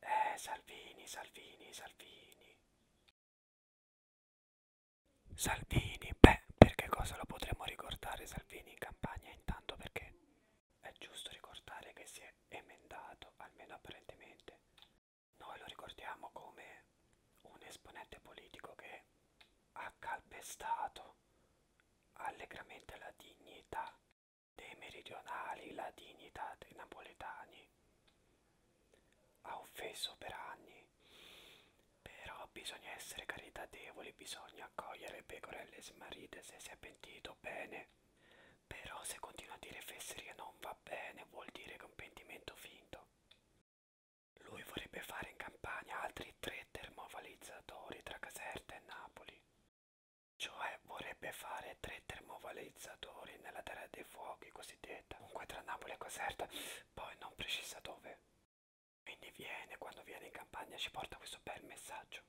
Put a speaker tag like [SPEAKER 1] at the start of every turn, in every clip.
[SPEAKER 1] Eh, Salvini, Salvini, Salvini. Salvini, beh, perché cosa lo potremmo ricordare Salvini in campagna?
[SPEAKER 2] Intanto perché è giusto ricordare che si è emendato, almeno apparentemente. Noi lo ricordiamo come un esponente politico che ha calpestato allegramente la dignità dei meridionali, ladini, dei napoletani. Ha offeso per anni, però bisogna essere caritatevoli, bisogna accogliere pecorelle smarrite se si è pentito bene. Però se continua a dire fesserie non va bene, vuol dire che è un pentimento finto. Lui vorrebbe fare in campagna altri tre termovalizzatori tra Caserta e Napoli cioè vorrebbe fare tre termovalorizzatori nella terra dei fuochi cosiddetta,
[SPEAKER 1] comunque tra Napoli e Caserta, poi non precisa dove. Quindi viene, quando viene in campagna ci porta questo bel messaggio.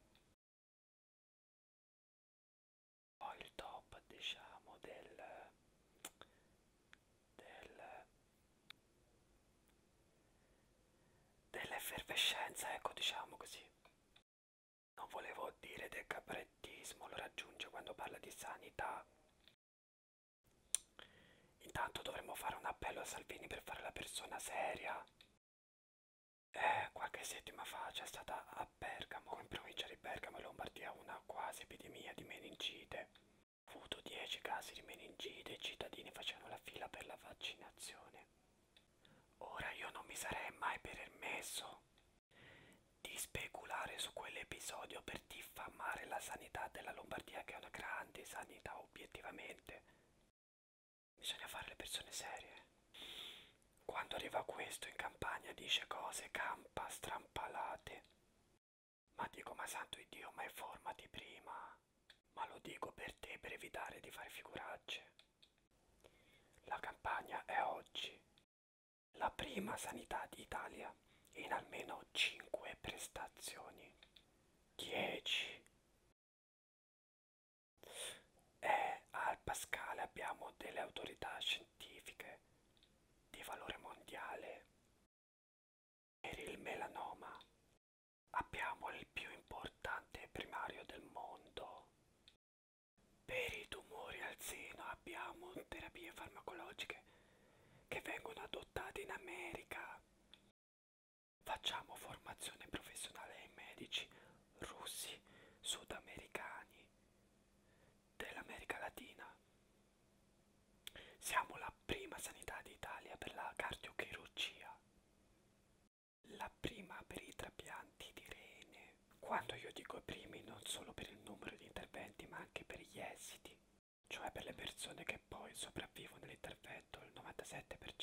[SPEAKER 1] Poi il top, diciamo, del...
[SPEAKER 2] del dell'effervescenza, ecco diciamo così. Non volevo dire del caprettismo, lo raggiunge quando parla di sanità. Intanto dovremmo fare un appello a Salvini per fare la persona seria. Eh, qualche settima fa c'è stata a Bergamo, in provincia di Bergamo e Lombardia, una quasi epidemia di meningite avuto 10 casi di meningite e i cittadini facevano la fila per la vaccinazione. Ora io non mi sarei mai permesso di speculare su quell'episodio per diffamare la sanità della Lombardia che è una grande sanità obiettivamente. Bisogna fare le persone serie. Quando arriva questo in campagna dice cose campa strampalate. Ma dico, ma santo Dio, ma informati prima. Ma lo dico per te, per evitare di fare figuracce. La campagna è
[SPEAKER 1] oggi la prima sanità d'Italia in almeno 5 prestazioni. 10.
[SPEAKER 2] E eh, al Pascale abbiamo delle autorità scientifiche di valore mondiale. Per il melanoma
[SPEAKER 1] abbiamo il più importante primario del mondo.
[SPEAKER 2] Per i tumori al seno abbiamo terapie farmacologiche che vengono adottate in America. Facciamo formazione professionale ai medici russi, sudamericani, dell'America Latina. Siamo la prima sanità d'Italia per la cardiochirurgia, la prima per i trapianti di rene. Quando io dico primi non solo per il numero di interventi ma anche per gli esiti, cioè per le persone che poi sopravvivono all'intervento il 97%.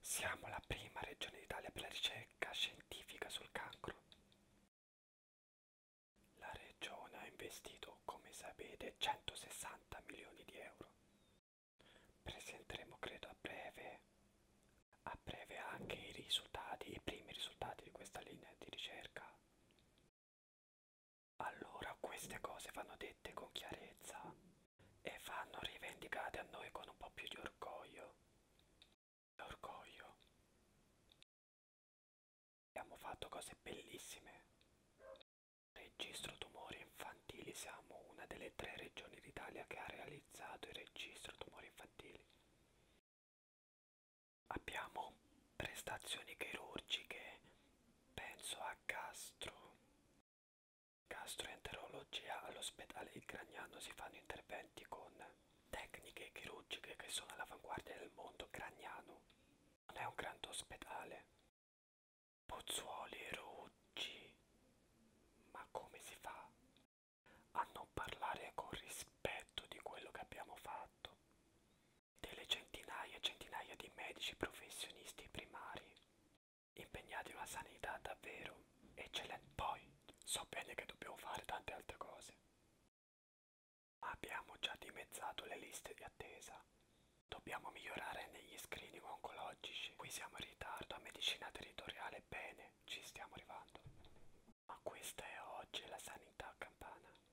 [SPEAKER 1] Siamo la prima regione d'Italia per la ricerca scientifica sul cancro. La regione ha
[SPEAKER 2] investito, come sapete, 160 milioni di euro. Presenteremo, credo, a breve, a breve anche i risultati, i primi risultati di questa linea di ricerca. Allora, queste cose vanno dette con chiarezza e vanno rivendicate a noi con un po' più di
[SPEAKER 1] orgoglio. Orgoglio. Abbiamo fatto cose bellissime. Registro tumori infantili,
[SPEAKER 2] siamo una delle tre regioni d'Italia che ha realizzato il registro tumori infantili.
[SPEAKER 1] Abbiamo prestazioni chirurgiche, penso a gastro, gastroenterologia
[SPEAKER 2] all'ospedale Il Gragnano si fanno interventi con tecniche chirurgiche che sono all'avanguardia del mondo gragnano. Non è un grande ospedale. Pozzuoli, Ruggi. Ma come si fa a non parlare con rispetto di quello che abbiamo fatto? delle centinaia e centinaia di medici professionisti primari impegnati in
[SPEAKER 1] una sanità davvero eccellente. Poi so bene che dobbiamo fare tante altre cose.
[SPEAKER 2] Ma abbiamo già dimezzato le liste di attesa. Dobbiamo migliorare negli screening oncologici. Qui siamo in ritardo a medicina territoriale,
[SPEAKER 1] bene, ci stiamo arrivando. Ma questa è oggi la sanità campana.